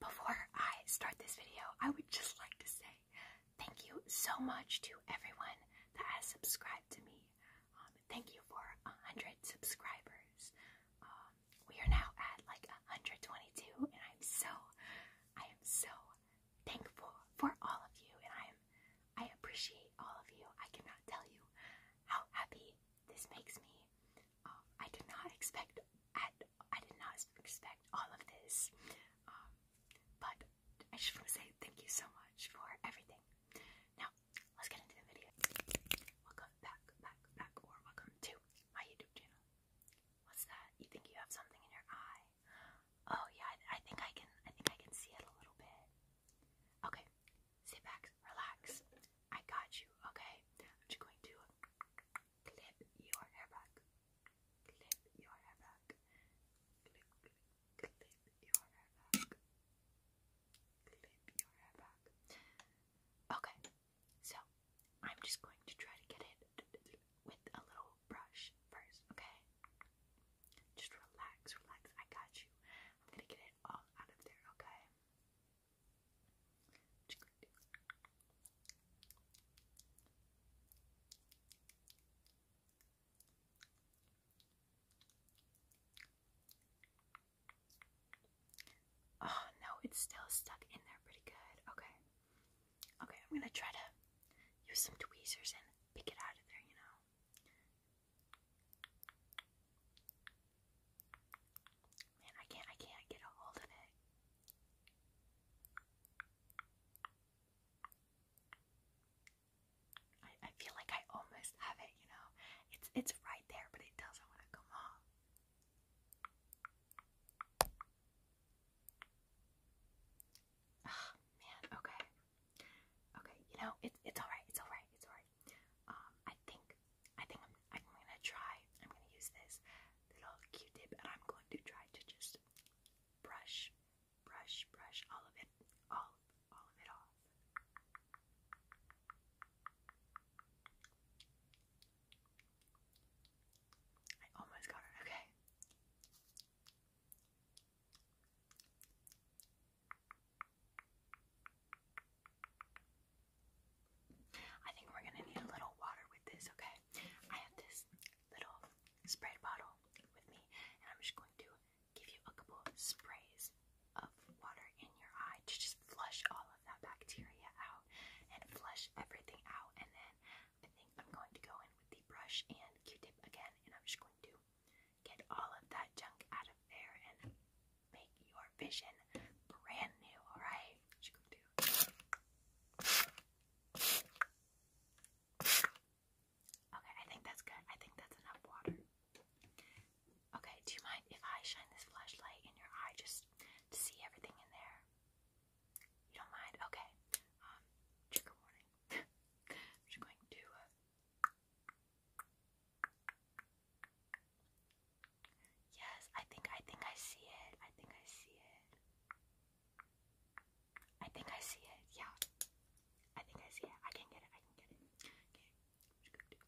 Before I start this video, I would just like to say thank you so much to everyone that has subscribed to me. Um, thank you for 100 subscribers. Um, we are now at like 122, and I'm so, I am so thankful for all of you, and I am, I appreciate all of you. I cannot tell you how happy this makes me. Um, I did not expect at I did not expect all of this. Um, but I just want to say thank you so much for everything. Now, let's get into the video. Welcome back, back, back, or welcome to my YouTube channel. What's that? You think you have something in your eye? Oh yeah, I think I can. I think I can see it a little bit. Okay, sit back, relax. I got you. Okay, I'm just going to Clip your hair back. Clip your hair back. Clip, clip, clip your hair back. Clip your hair back. Okay, so I'm just going to try to get it with a little brush first, okay? Just relax, relax. I got you. I'm gonna get it all out of there, okay? Oh no, it's still stuck in there pretty good. Okay. Okay, I'm gonna try to use some tweezers and pick it out of there, you know. Man, I can't I can't get a hold of it. I, I feel like I almost have it, you know. It's it's right there, but it doesn't want to come off. Oh, man, okay. Okay, you know, it's it's alright, it's alright, it's alright. Um, I think I think I'm gonna try. I'm gonna use this little Q-tip and I'm going to try to just brush, brush, brush all of it, all all of it off. I almost got it. Okay. I think we're gonna need a little water with this, okay? I have this little spray bottle with me, and I'm just going to give you a couple sprays of water in your eye to just flush all of that bacteria out and flush everything out. And then I think I'm going to go in with the brush and Q tip again, and I'm just going to get all of that junk out of there make your vision brand new, alright? Okay, I think that's good. I think that's enough water. Okay, do you mind if I shine this flashlight in your eye just to see everything in there? You don't mind? Okay. Um, just going to uh, Yes, I think I think I see it. I think I see it. I think I see it. Yeah. I think I see it. I can get it. I can get it. Okay.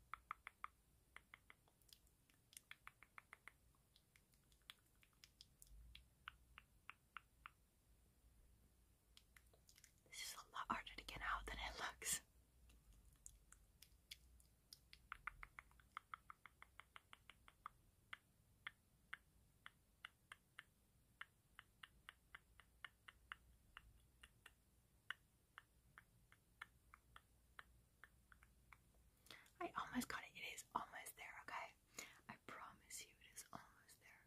This is a lot harder to get out than it looks. I almost got it. It is almost there, okay? I promise you, it is almost there.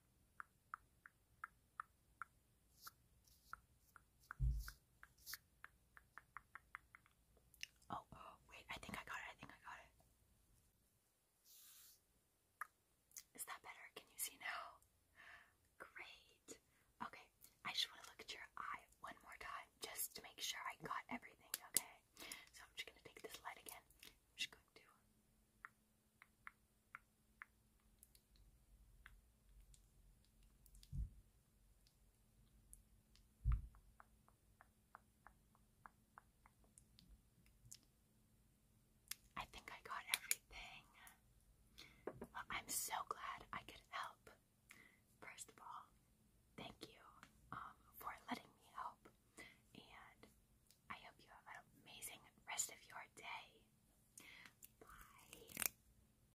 Oh, oh, wait, I think I got it. I think I got it. Is that better? Can you see now? Great. Okay, I just want to look at your eye one more time just to make sure I got everything, okay? So I'm just going to take this light again. I'm just going to. I think I got everything. I'm so glad I could help. First of all, thank you um, for letting me help, and I hope you have an amazing rest of your day. Bye.